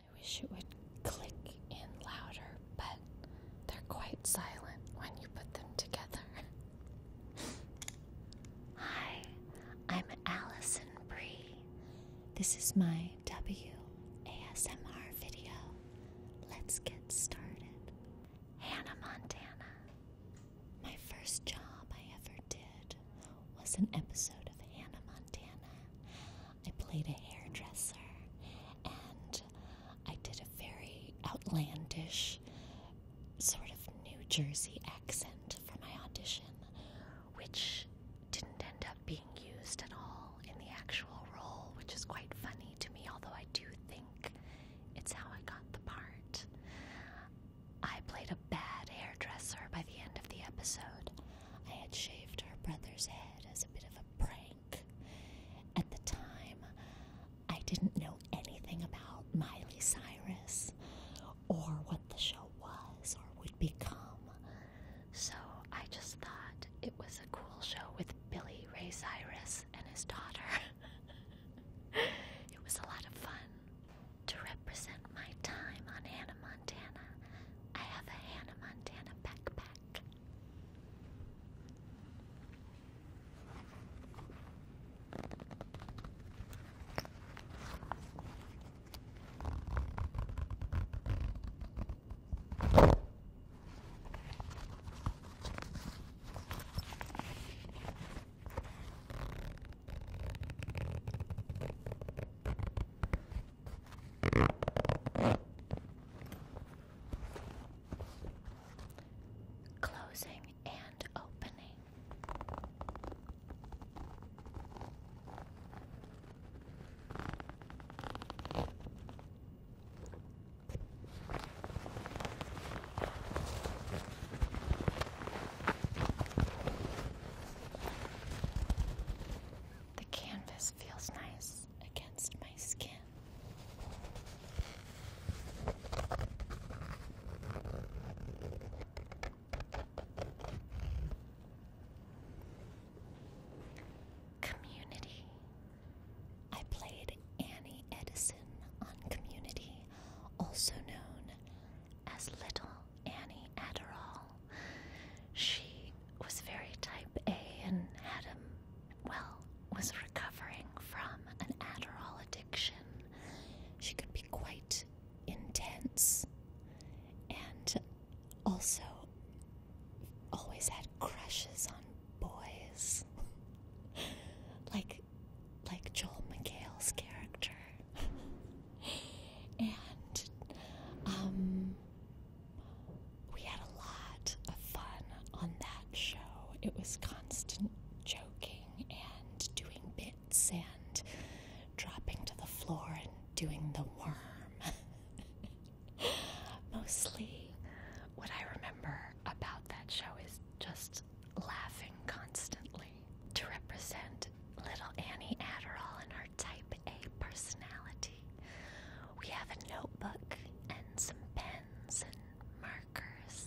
I wish it would click in louder, but they're quite silent when you put them together. Hi, I'm Allison Bree. This is my WASMR video. Let's get started. Hannah Montana. My first job I ever did was an episode of Hannah Montana. I played a hairdresser and I did a very outlandish sort of New Jersey accent for my audition, which didn't end up being used at all in the actual role, which is quite funny to me, although I do think it's how I got the part. I played a bad hairdresser by the end of the episode, I had shaved her brother's head as a bit of a prank. At the time, I didn't know anything about Miley Cyrus or what the show was or would become. So I just thought it was a cool show with Billy Ray Cyrus and his daughter. it was a lot of fun. To represent my time on Hannah Montana, I have a Hannah Montana backpack. Closing and opening. The canvas feels nice against my skin. Community. I played Annie Edison on Community, also known as little Annie Adderall. She was very type A and Adam, well, was recovering from an Adderall addiction. She could be quite intense and also always had crushes on boys. like like Joel McHale's character. and um, we had a lot of fun on that show. It was constant joking and doing bits and dropping to the floor and doing the worm. Mostly what I remember about that show is just laughing constantly to represent little Annie Adderall and her type A personality. We have a notebook and some pens and markers.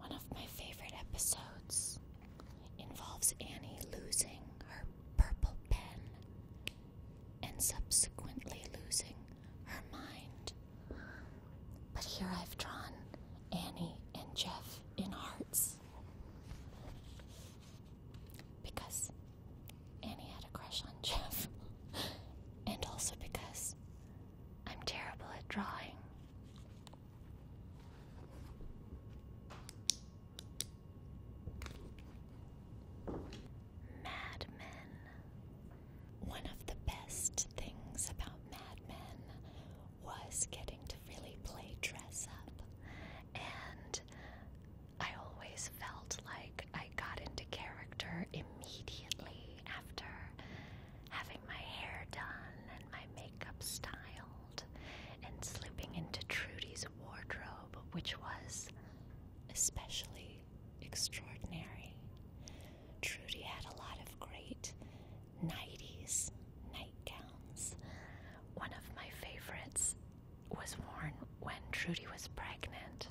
One of my favorite episodes involves Annie losing her purple pen and subsequently losing her mind. But here I've drawn Annie and Jeff in hearts because Annie had a crush on Jeff, and also because I'm terrible at drawing. Madmen. One of the best things about Mad was getting to really play dress up. And I always felt like I got into character immediately after having my hair done and my makeup styled and slipping into Trudy's wardrobe, which was especially extraordinary. Trudy had a lot of great 90s nightgowns. One of my favorites was worn when Trudy was pregnant,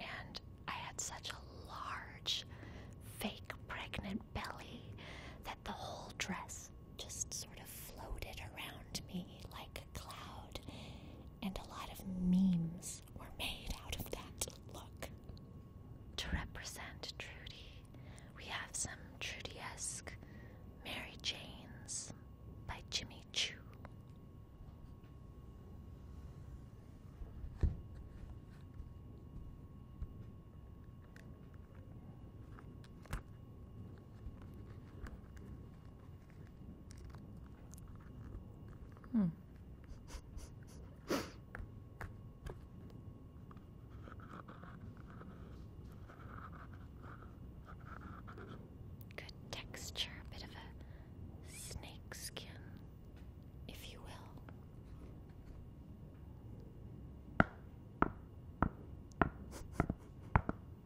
and I had such a large, fake pregnant belly that the whole dress just sort of floated around me like a cloud and a lot of memes were made out of that look. To represent Trudy, we have some Trudy-esque Mary Janes by Jimmy Chu. Hmm. Good texture, a bit of a snake if you will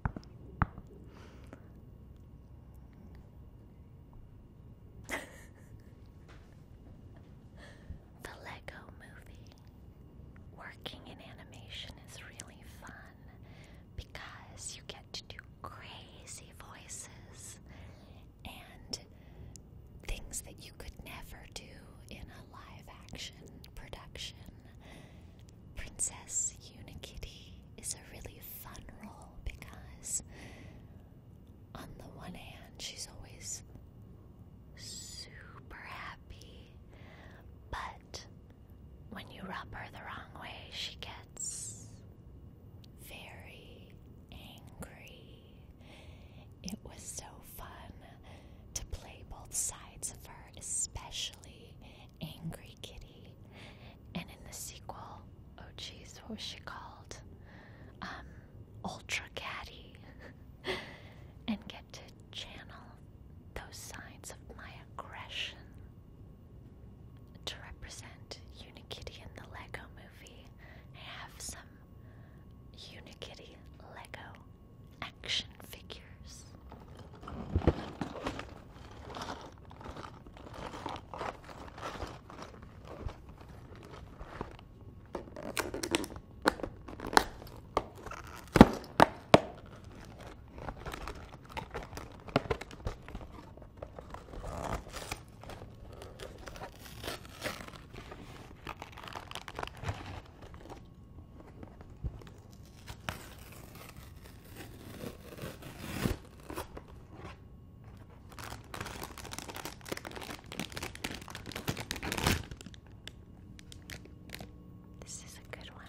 the Lego movie. Working in animation is really fun because you get to do crazy voices and things that you could never do in a live action production. Princess Unikitty is a really fun role because, on the one hand, she's always super happy, but when you rub her the wrong way, she gets very angry. It was so fun to play both sides of her, especially Angry Kitty. And in the sequel, oh jeez, what was she called? Um, Ultra Kitty, and get to channel those sides of my aggression to represent Unikitty in the Lego movie. I have some Unikitty Lego action figures. This is a good one.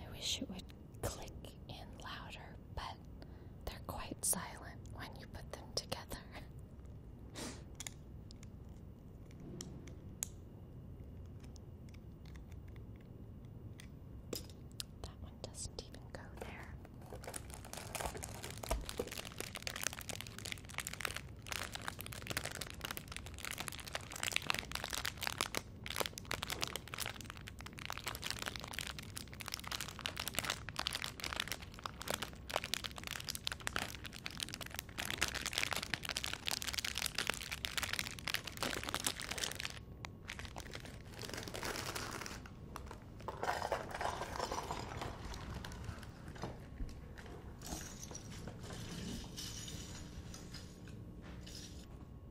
I wish it would click in louder, but they're quite silent when you put them together. That one doesn't even go there.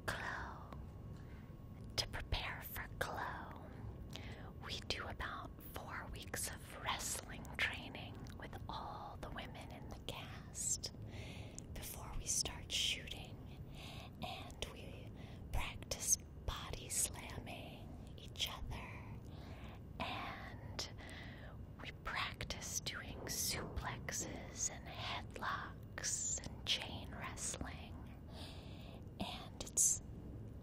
Glow. To prepare for glow, we do about four weeks of wrestling training with all the women in cast before we start shooting, and we practice body slamming each other, and we practice doing suplexes and headlocks and chain wrestling, and it's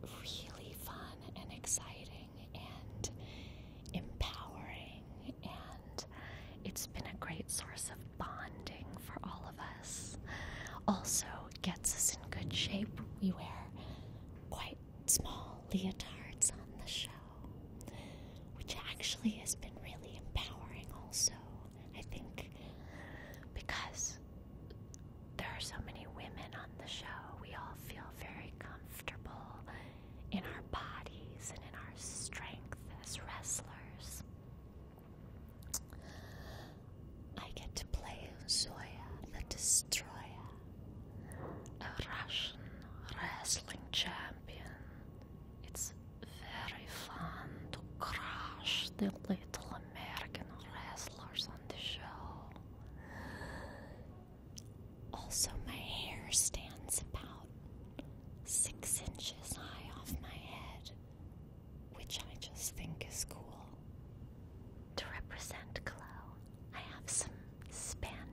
really fun and exciting and empowering and it's been a great source of bonding for all of us. Also, gets us in good shape. We wear quite small leotards on the show, which actually has been really empowering, also, I think, because there are so many women on the show. We all feel very comfortable in our bodies and in our strength as wrestlers. I get to play Zoya the Destroyer, a Russian wrestling champion. It's very fun to crush the little American wrestlers on the show. Also, my hair stands about six inches high off my head, which I just think is cool. To represent glow, I have some spandex.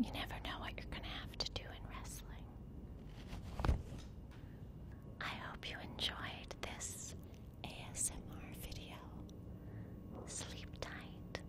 You never know what you're going to have to do in wrestling. I hope you enjoyed this ASMR video. Sleep tight.